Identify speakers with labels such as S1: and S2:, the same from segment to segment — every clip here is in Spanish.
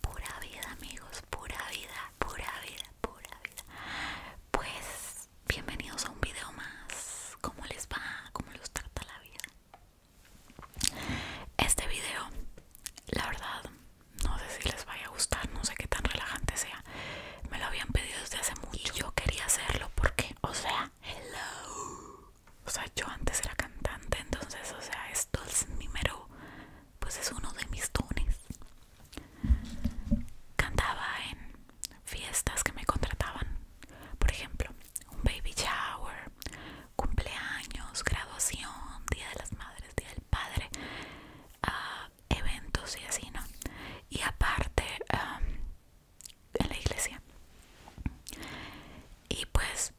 S1: Pura, vida amigos, pura vida, pura vida, pura vida. Pues bienvenidos a un video más. ¿Cómo les va? ¿Cómo los trata la vida? Este video, la verdad, no sé si les vaya a gustar, no sé qué tan relajante sea. Me lo habían pedido desde hace mucho. yo quería hacerlo porque, o sea, hello o sea, yo antes era cantante, entonces, o sea, esto es mi mero, pues es uno de mis dones. Cantaba en fiestas que me contrataban, por ejemplo, un baby shower, cumpleaños, graduación, día de las madres, día del padre, ah, eventos y así, ¿no? Y aparte, ah, en la iglesia y pues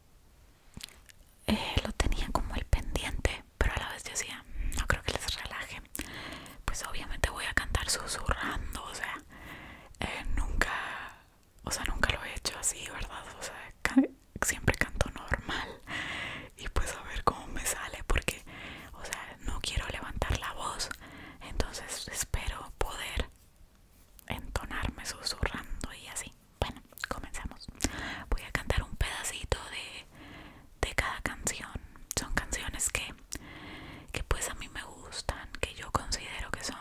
S1: eh, lo tenía como el pendiente pero a la vez decía no creo que les relaje pues obviamente voy a cantar susurrando o sea eh, nunca o sea nunca lo he hecho así verdad o sea siempre canto normal y pues a ver cómo me sale porque o sea no quiero levantar la voz entonces espero poder entonarme susurrando y así. Bueno, comenzamos. Voy a cantar un pedacito de, cada canción. Son canciones que, que pues a mí me gustan, que yo considero que son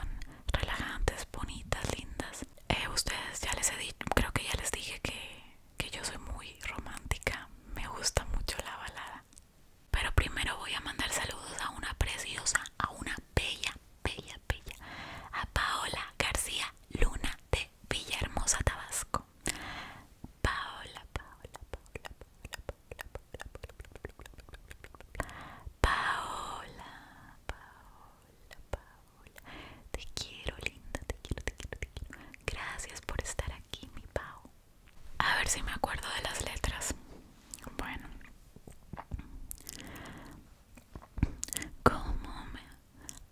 S1: relajantes, bonitas, lindas. Eh, ustedes ya les he creo que ya les dije que yo soy muy romántica. Me gusta mucho la balada. Pero primero voy a mandar saludos a una preciosa, a una bella, bella, bella, a Paola García Luna de Villahermosa, Tabasco. Paola, Paola, Paola, Paola, Paola, Paola, Paola, Paola, Paola. Te quiero, linda, te quiero, te quiero, te quiero. Gracias por estar aquí, mi Pao. A ver si me acuerdo de las letras. Bueno, ¿cómo me.?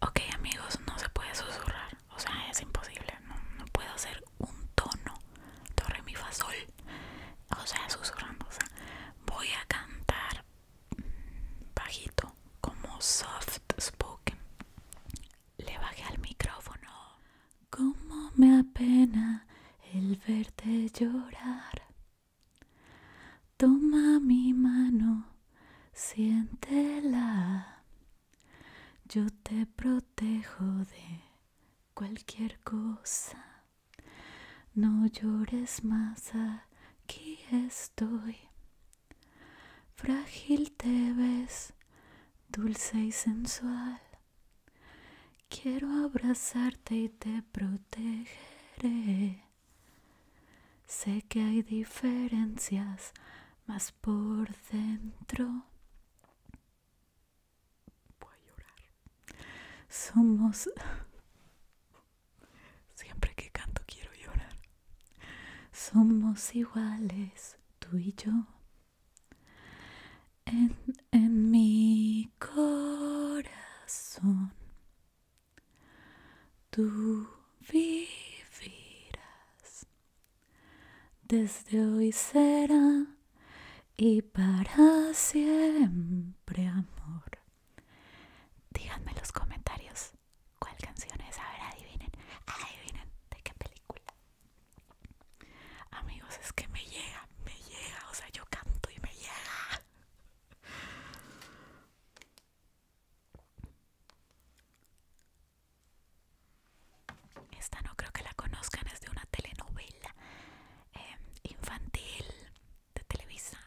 S1: Ok, amigos, no se puede susurrar. O sea, es imposible. No, puedo hacer un tono. torre mi, fa, O sea, susurrando. O voy a cantar bajito, como soft spoken. Le bajé al micrófono. Como me apena el verte llorar. Toma mi mano, siéntela. Yo te protejo de cualquier cosa. No llores más, aquí estoy. Frágil te ves, dulce y sensual. Quiero abrazarte y te protegeré. Sé que hay diferencias, más por dentro voy a llorar. Somos Siempre que canto quiero llorar. Somos iguales, tú y yo en, mi corazón. Tú vivirás. Desde hoy será y para siempre amor. Díganme en los comentarios cuál canción es. A ver, adivinen. Adivinen de qué película. Amigos, es que me llega me llega, o sea, yo canto y me llega. Esta no creo que la conozcan, es de una telenovela em, infantil de Televisa.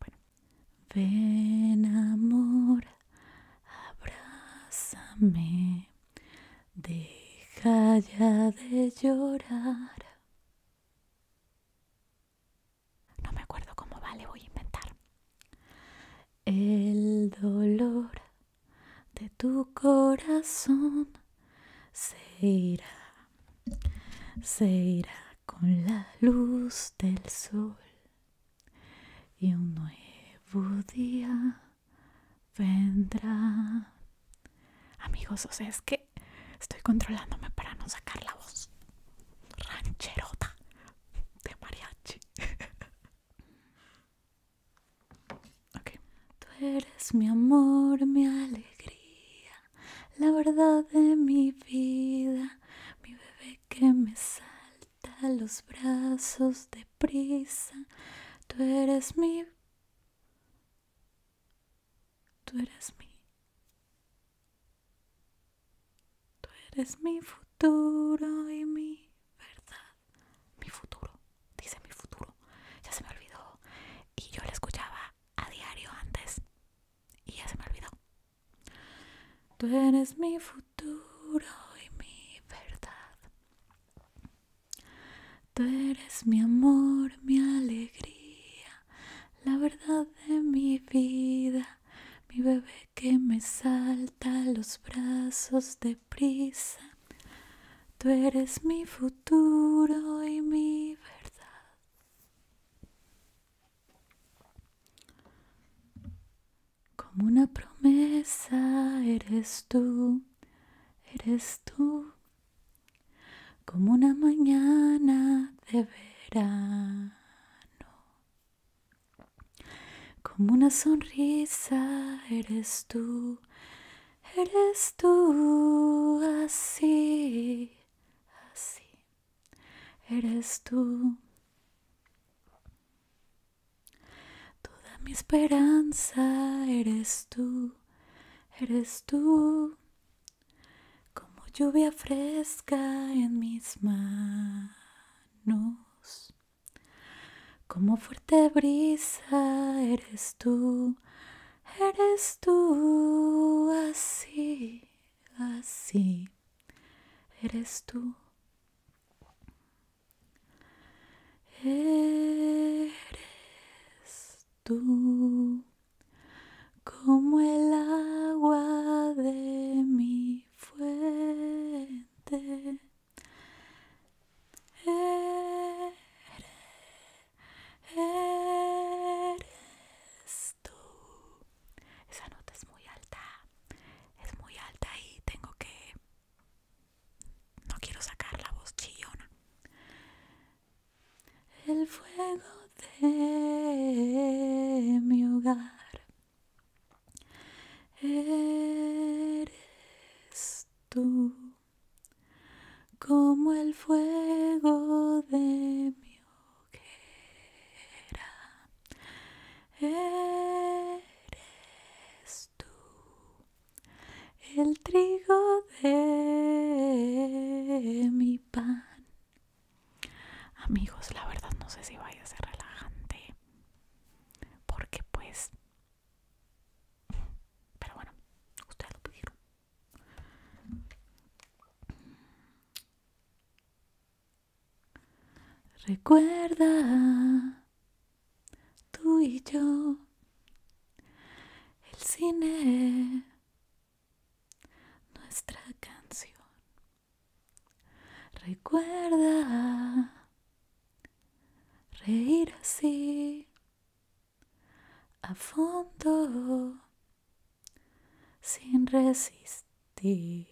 S1: Bueno. Ven amor, abrázame, deja ya de llorar. No me acuerdo cómo vale, voy a inventar. El dolor de tu corazón se irá, se irá con la luz del sol y un nuevo día vendrá. Amigos, o sea, es que estoy controlándome para no sacar la voz rancherota de mariachi. Tú eres mi amor, mi alegría, la verdad de mi vida, mi bebé que me salta los brazos de prisa. Tú eres mi Tú eres mi. Tú eres mi futuro y mi verdad. Mi futuro, dice mi futuro. Ya se me olvidó. Y yo le escuchaba a diario antes. Y ya se me olvidó. Tú eres mi futuro y mi verdad. Tú eres mi amor, mi alegría, la verdad de mi vida, mi bebé que me salta los brazos de prisa. Tú eres mi futuro y mi verdad. Como una promesa eres tú, eres tú como una mañana de verano, como una sonrisa eres tú, eres tú así, así, eres tú. Toda mi esperanza eres tú, eres tú como lluvia fresca en mis manos, como fuerte brisa eres tú, eres tú así, así, eres tú. Eres tú como el agua de mi fuente. Eres, tú. Esa nota es muy alta, es muy alta y tengo que... No quiero sacar la voz chillona el fuego de mi hogar. Eres tú como el fuego de mi hoguera. Eres tú el trigo de mi pan. Amigos, la verdad no sé si vaya a ser relajante, porque pues... Pero bueno, ustedes lo pidieron. Recuerda, tú y yo el cine, nuestra canción. Recuerda reír así a fondo sin resistir.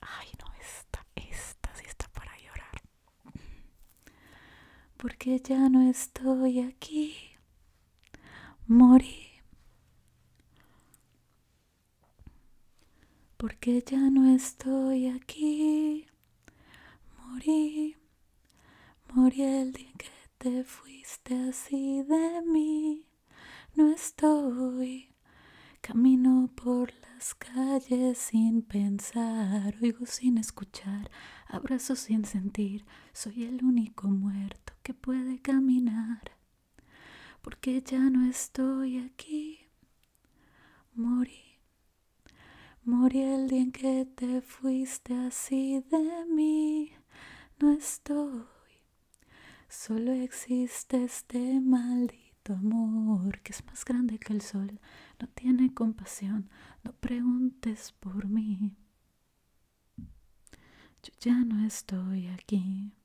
S1: Ay, no, esta, esta sí está para llorar. Porque ya no estoy aquí. Morí. Porque ya no estoy aquí. Morí. Morí el día que te fuiste así de mí no estoy. Camino por las calles sin pensar, oigo sin escuchar, abrazo sin sentir. Soy el único muerto que puede caminar. Porque ya no estoy aquí. Morí. Morí el día en que te fuiste así de mí. No estoy. Solo existe este maldito amor que es más grande que el sol, no tiene compasión, no preguntes por mí. Yo ya no estoy aquí.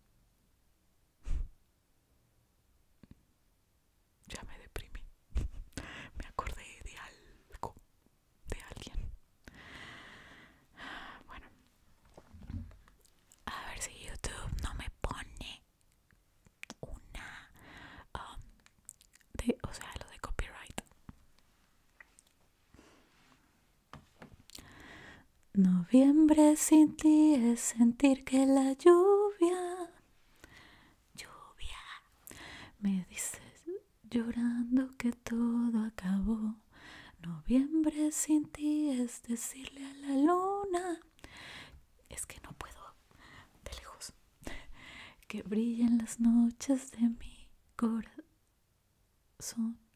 S1: Ya me deprimí. Me acordé de algo, de alguien. Bueno, a ver si YouTube no me pone una um, de, o sea, lo de copyright. Noviembre sin ti es sentir que la lluvia, lluvia, me dices llorando que todo acabó. Noviembre sin ti es decirle a la luna. Es que no puedo, de lejos. Que brillen las noches de mi corazón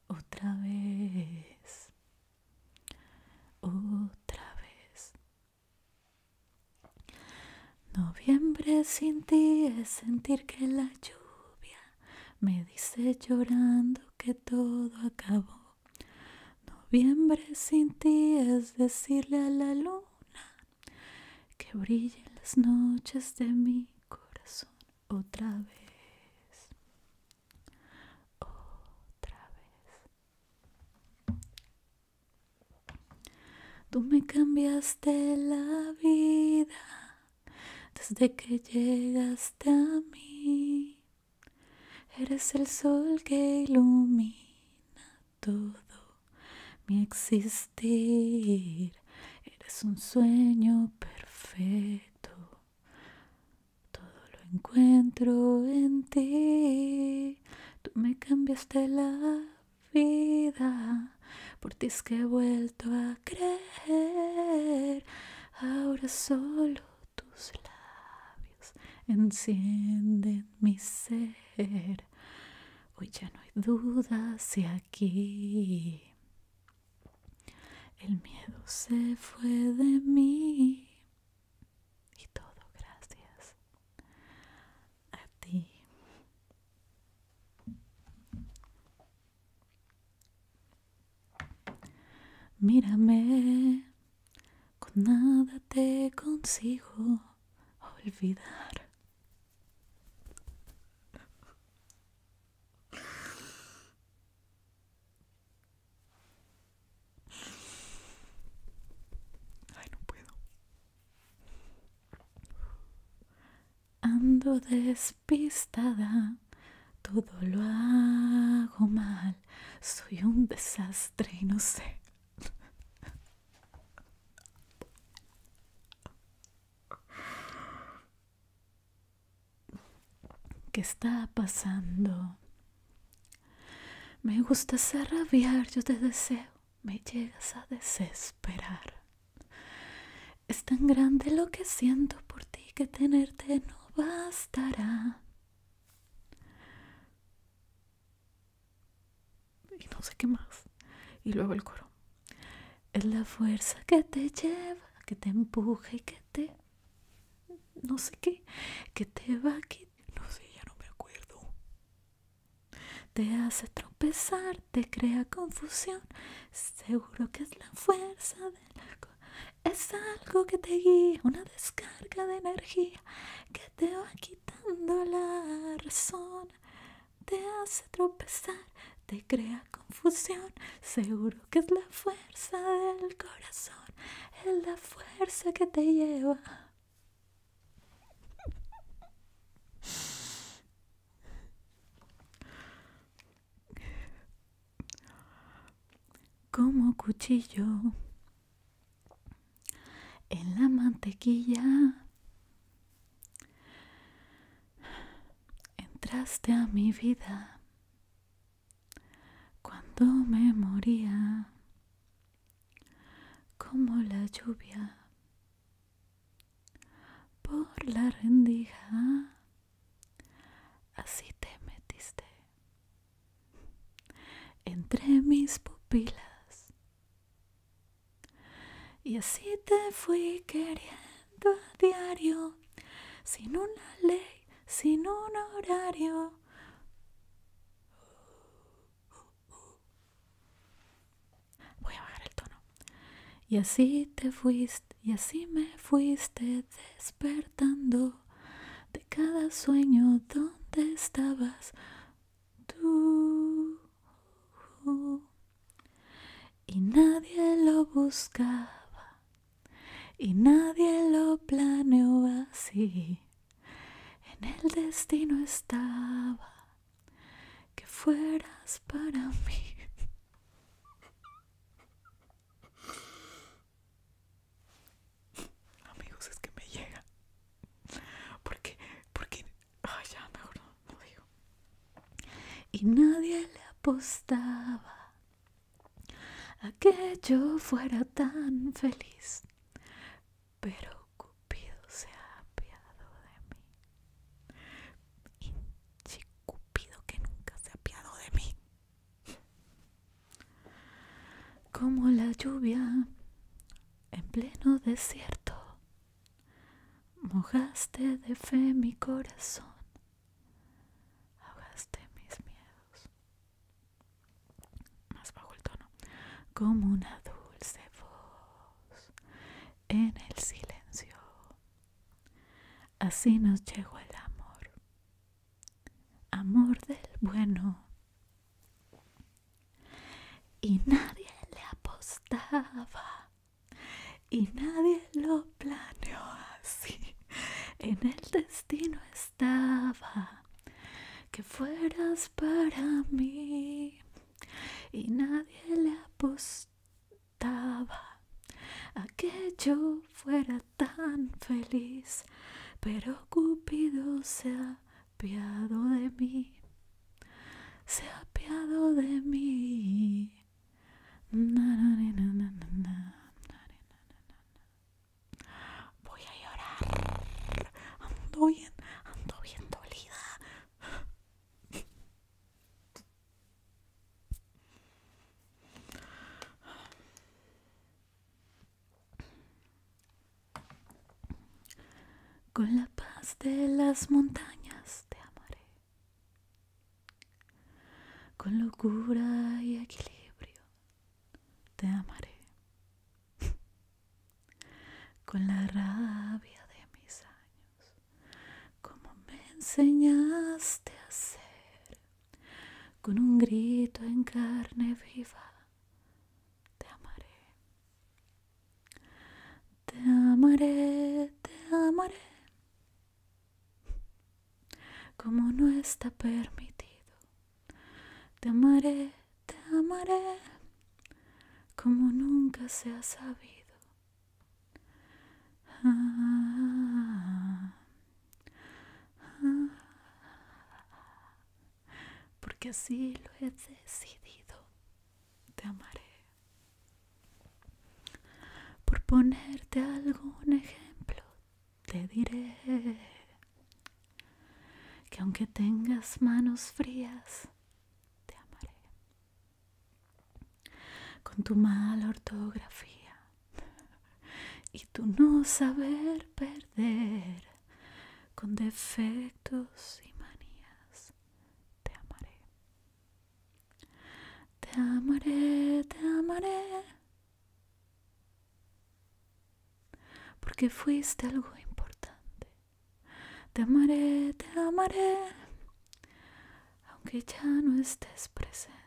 S1: otra vez. Otra vez. Noviembre sin ti es sentir que la lluvia me dice llorando que todo acabó. Noviembre sin ti es decirle a la luna que brille las noches de mi corazón otra vez. Otra vez. Tú me cambiaste la vida desde que llegaste a mí. Eres el sol que ilumina todo mi existir. Eres un sueño perfecto. Todo lo encuentro en ti. Tú me cambiaste la vida. Por ti es que he vuelto a creer. Ahora solo tus labios encienden mi ser. Hoy ya no hay duda si aquí el miedo se fue de mí. Y todo gracias a ti. Mírame, con nada te consigo olvidar. Ay, no puedo. Ando despistada todo lo hago mal, soy un desastre y no sé. ¿Qué está pasando? Me gustas ser rabiar, yo te deseo, me llegas a desesperar. Es tan grande lo que siento por ti que tenerte no bastará. Y no sé qué más. Y luego el coro. Es la fuerza que te lleva, que te empuja y que te... No sé qué. Que te va a quitar. No sé, ya no me acuerdo. Te hace tropezar, te crea confusión. Seguro que es la fuerza del agua es algo que te guía, una descarga de energía que te va quitando la razón. Te hace tropezar, te crea confusión. Seguro que es la fuerza del corazón, es la fuerza que te lleva como cuchillo en la mantequilla. Entraste a mi vida cuando me moría, como la lluvia por la rendija, así te metiste entre mis pupilas. Y así te fui queriendo a diario, sin una ley, sin un horario. Voy a bajar el tono. Y así te fuiste, y así me fuiste despertando de cada sueño donde estabas tú y nadie lo buscaba y nadie lo planeó así en el destino estaba que fueras para mí Amigos, es que me llega. Porque, porque, ay, ya mejor no, no digo. Y nadie le apostaba a que yo fuera tan feliz. Pero Cupido se ha apiado de mí. y Cupido que nunca se ha apiado de mí. Como la lluvia en pleno desierto, mojaste de fe mi corazón, ahogaste mis miedos. Más bajo el tono, como una dulce voz en el silencio. Así nos llegó el amor amor del bueno. Y nadie le apostaba, y nadie lo planeó así. En el destino estaba que fueras para mí, y nadie le apostaba a que yo fuera tan feliz, pero Cupido se ha piado de mí, se ha piado de mí. Voy a llorar. Ando bien, ando bien dolida. Con la paz de las montañas te amaré. Con locura y equilibrio te amaré. Con la rabia de mis años, como me enseñaste a ser con un grito en carne viva, te amaré. Te amaré, te amaré, como no está permitido. Te amaré, te amaré, como nunca se ha sabido. Ah. Porque así lo he decidido. Te amaré. Por ponerte algún ejemplo, te diré que aunque tengas manos frías, te amaré. Con tu mala ortografía y tú no saber perder con defectos y manías te amaré te amaré te amaré porque fuiste algo importante te amaré te amaré aunque ya no estés presente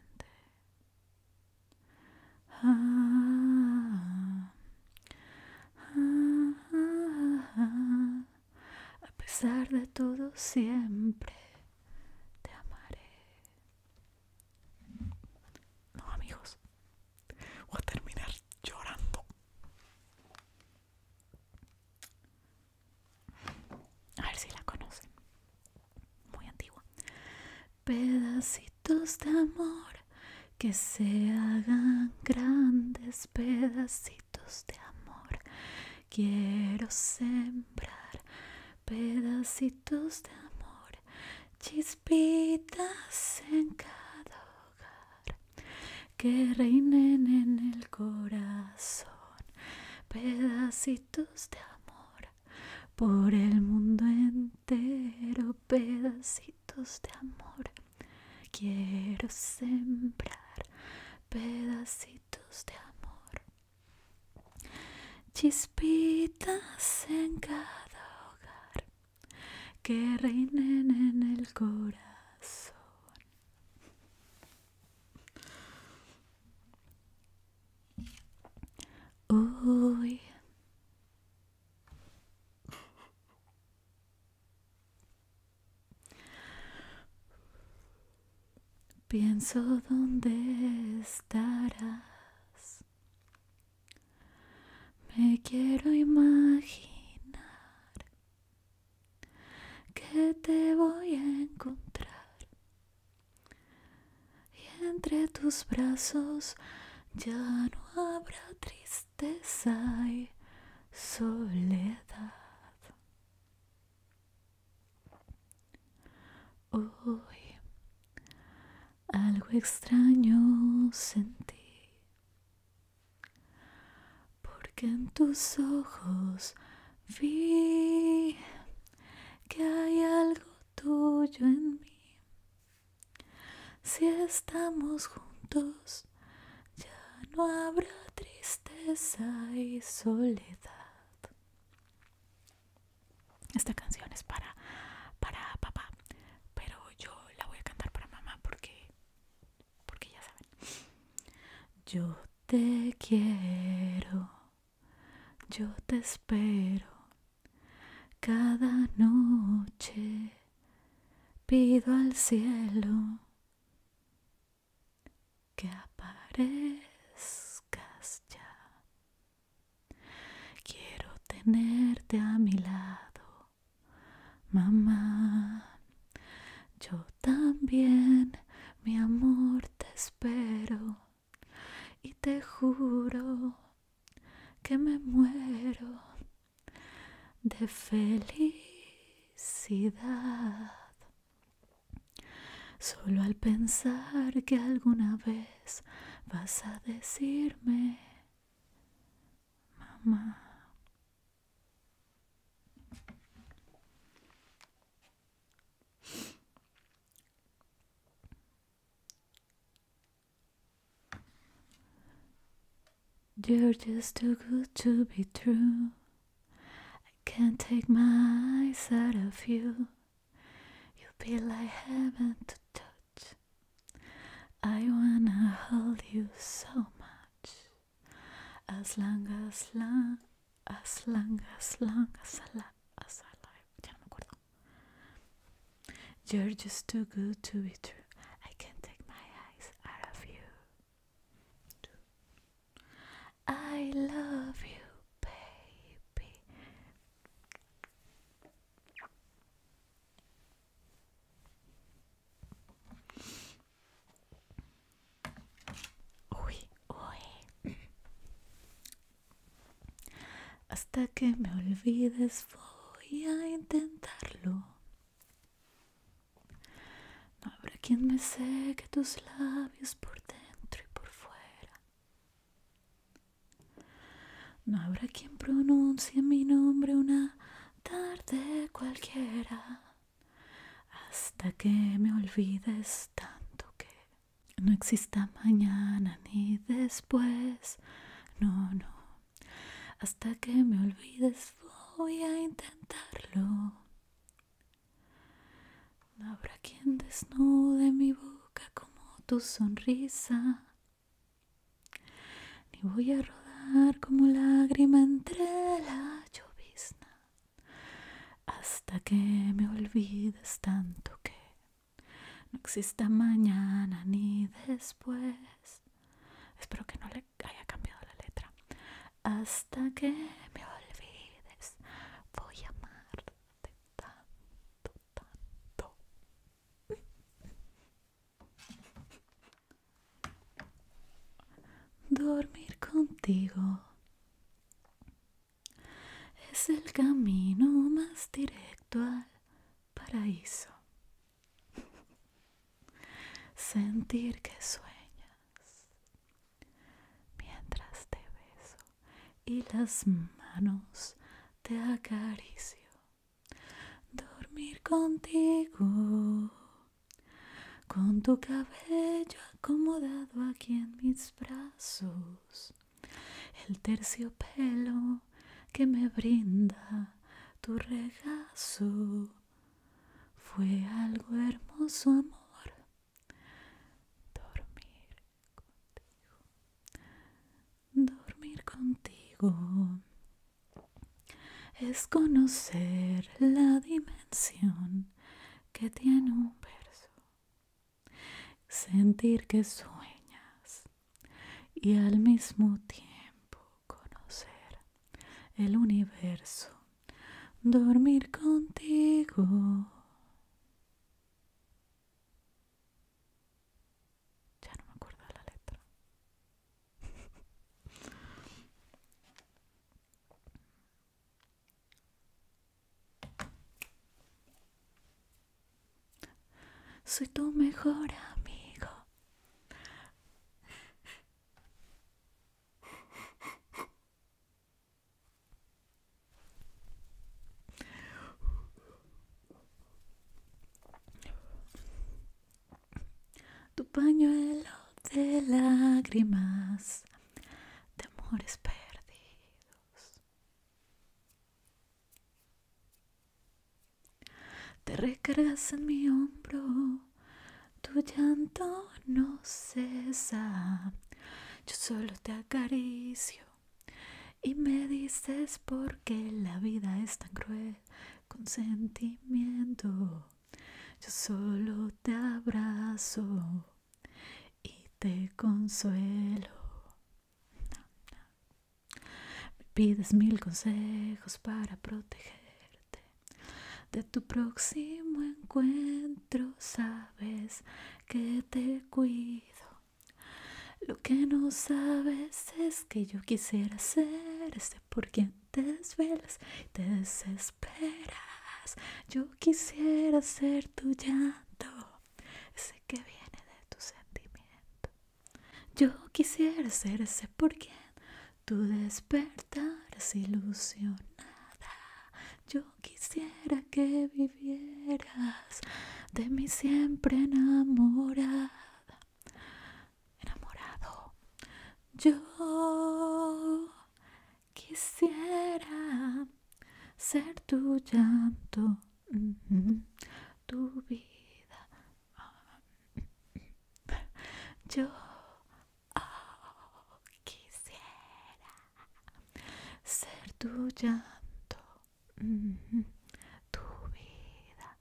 S1: a pesar de todo, siempre te amaré. No, amigos, voy a terminar llorando. A ver si la conocen muy antiguo. Pedacitos de amor que se hagan grandes pedacitos de amor. Quiero sembrar pedacitos de amor, chispitas en cada hogar, que reinen en el corazón. Pedacitos de amor por el mundo entero pedacitos de amor. Quiero sembrar pedacitos de amor. Chispitas en cada hogar que reinen en el corazón. Uy. Pienso dónde estarás. Me quiero imaginar que te voy a encontrar y entre tus brazos ya no habrá tristeza y soledad. Hoy algo extraño sentí, porque en tus ojos vi que hay algo tuyo en mí si estamos juntos, ya no habrá tristeza y soledad. Esta canción es para, para papá, pero yo la voy a cantar para mamá porque, porque ya saben. Yo te quiero yo te espero. Cada noche pido al cielo que aparezcas ya. Quiero tenerte a mi lado, mamá. Yo también, mi amor, te espero y te juro que me muero de felicidad. Solo al pensar que alguna vez vas a decirme, mamá. You're just too good to be true. I can't take my eyes out of you. You'll be like heaven to touch. I wanna hold you so much. As long as long, as long as long as, long, as, long, as, long, as, long, as, long, as, long, as, long, as, long, as, long, as you're just too good to be true. I can't take my eyes out of you. I love you, baby. Oui, oui. Hasta que me olvides voy a intentarlo. No habrá quien me seque tus labios por dentro y por fuera. No habrá quien pronuncie mi nombre una tarde cualquiera. Hasta que me olvides tanto que no exista mañana ni después, no, no. Hasta que me olvides voy a intentarlo. No habrá quien desnude mi boca como tu sonrisa. Ni voy a rodar como lágrima entre la llovizna. Hasta que me olvides tanto que no exista mañana ni después. Espero que no le haya cambiado la letra. Hasta que me olvides, voy a amarte tanto, tanto. Dormir contigo es el camino más directo al paraíso. Sentir que sueñas mientras te beso y las manos te acaricio. Dormir contigo, con tu cabello acomodado aquí en mis brazos el terciopelo que me brinda tu regazo fue algo hermoso amor dormir contigo dormir contigo es conocer la dimensión que tiene un verso sentir que sueñas y al mismo tiempo conocer el universo, dormir contigo. Ya no me acuerdo la letra. Soy tu mejor amigo. Tu pañuelo de lágrimas, de amores perdidos. Te recargas en mi hombro, tu llanto no cesa. Yo solo te acaricio y me dices por qué la vida es tan cruel con sentimiento. Yo solo te abrazo y te consuelo pides mil consejos para protegerte de tu próximo encuentro. Sabes que te cuido. Lo que no sabes es que yo quisiera ser ese por quien te desvelas te desesperas. Yo quisiera ser tu llanto sé que viene de tu sentimiento. Yo quisiera ser ese por quien tu despertar es ilusionada. Yo quisiera que vivieras de mi siempre enamorada. Enamorado. Yo quisiera ser tu llanto tu vida. Yo oh, quisiera ser tu llanto, tu vida.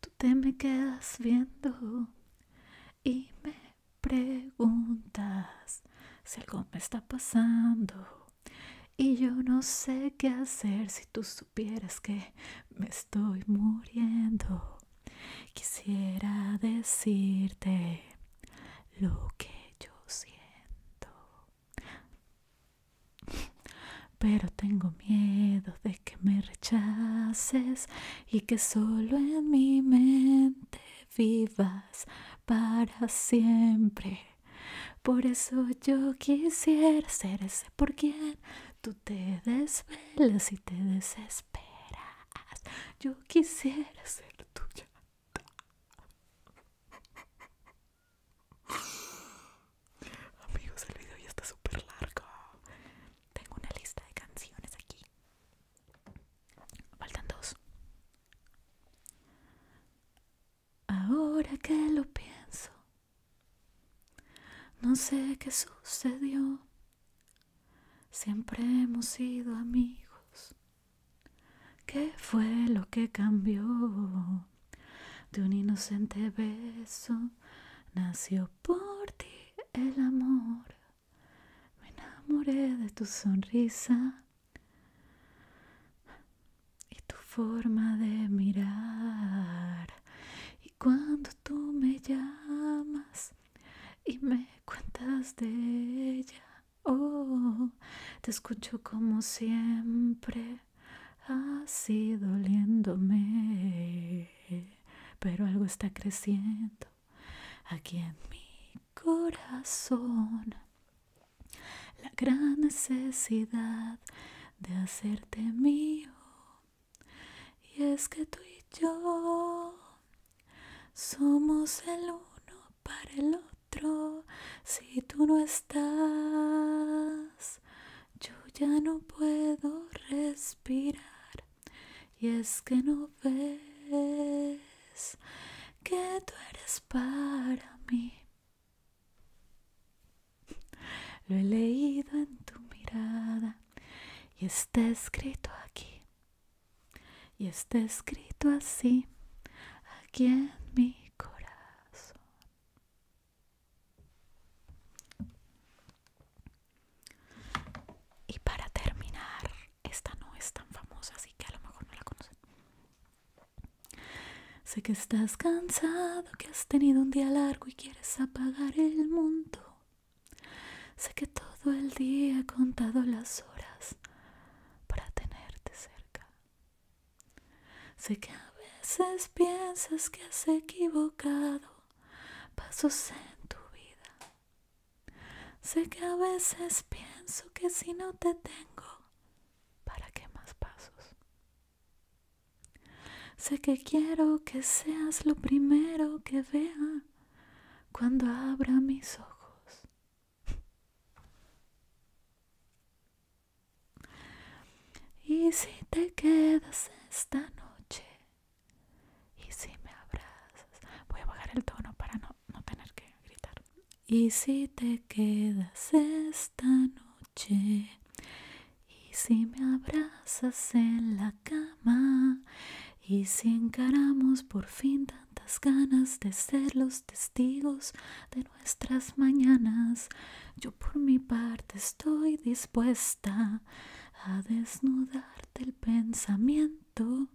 S1: Tú te me quedas viendo y me preguntas si algo me está pasando. Y yo no sé qué hacer si tú supieras que me estoy muriendo. Quisiera decirte lo que yo siento. Pero tengo miedo de que me rechaces y que solo en mi mente vivas para siempre. Por eso yo quisiera ser ese por tú te desvelas y te desesperas. Yo quisiera ser tuya. Amigos, el video ya está súper largo. Tengo una lista de canciones aquí. Faltan dos. Ahora que lo pienso, no sé qué sucedió. Siempre hemos sido amigos. ¿Qué fue lo que cambió? De un inocente beso nació por ti el amor. Me enamoré de tu sonrisa y tu forma de mirar. Y cuando tú me llamas y me cuentas de ella, oh, te escucho como siempre, así doliéndome. Pero algo está creciendo aquí en mi corazón. La gran necesidad de hacerte mío. Y es que tú y yo somos el uno para el otro. Si tú no estás, yo ya no puedo respirar. Y es que no ves que tú eres para mí. Lo he leído en tu mirada y está escrito aquí. Y está escrito así, aquí en mi corazón. Y para terminar, esta no es tan famosa, así que a lo mejor no la conocen. Sé que estás cansado, que has tenido un día largo y quieres apagar el mundo. Sé que todo el día he contado las horas para tenerte cerca. Sé que a veces piensas que has equivocado pasos en tu vida. Sé que a veces pienso que si no te tengo, ¿Para qué más pasos? Sé que quiero que seas lo primero que vea cuando abra mis ojos. Y si te quedas esta noche y si me abrazas, voy a bajar el tono para no no, tener que gritar. Y si te quedas esta noche, y si me abrazas en la cama, y si encaramos por fin tantas ganas de ser los testigos de nuestras mañanas, yo por mi parte estoy dispuesta a desnudarte el pensamiento,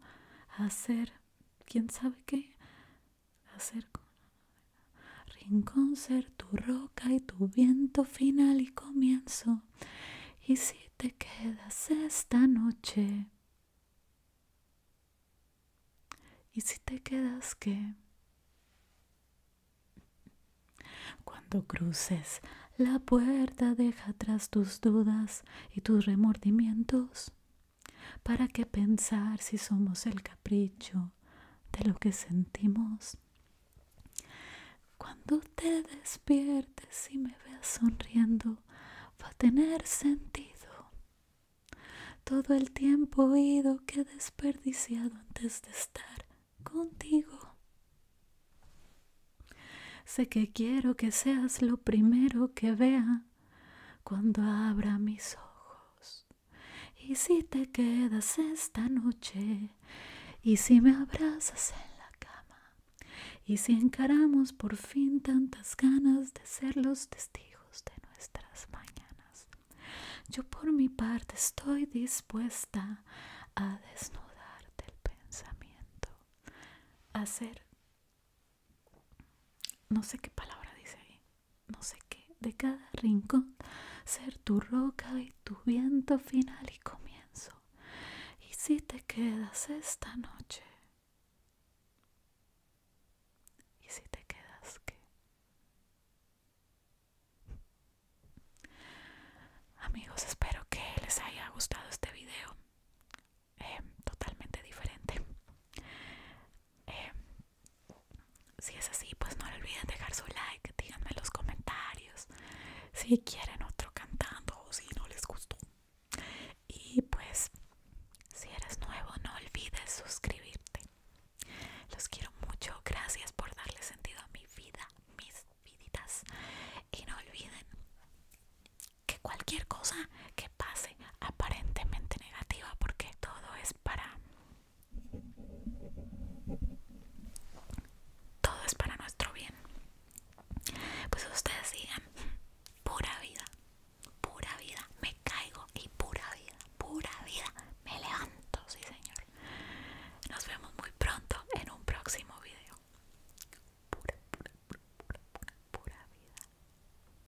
S1: a ser quién sabe qué, acerco. Rincón ser tu roca y tu viento final y comienzo. Y si te quedas esta noche. Y si te quedas qué. Cuando cruces la puerta, deja atrás tus dudas y tus remordimientos. ¿Para qué pensar si somos el capricho de lo que sentimos? Cuando te despiertes y me veas sonriendo, va a tener sentido todo el tiempo oído que desperdiciado antes de estar contigo. Sé que quiero que seas lo primero que vea cuando abra mis ojos. Y si te quedas esta noche, y si me abrazas en la cama, y si encaramos por fin tantas ganas de ser los testigos de nuestras mañanas. Yo por mi parte estoy dispuesta a desnudarte el pensamiento, a ser no sé qué palabra dice ahí, no sé qué, de cada rincón, ser tu roca y tu viento final y comienzo. Y si te quedas esta noche, y si te quedas qué? Amigos, espero que les haya gustado este video. Em, totalmente diferente. Em, si es así, pues no olviden dejar su like, díganme en los comentarios si quieren otro cantando o si no les gustó. Y pues, si eres nuevo, no olvides suscribirte. Los quiero mucho, gracias por darle sentido a mi vida, mis viditas. Y no olviden que cualquier cosa que pase, aparentemente negativa porque todo es para todo es para nuestro bien pues ustedes digan pura vida pura vida me caigo y pura vida pura vida me levanto sí señor nos vemos muy pronto en un próximo video pura pura pura, pura vida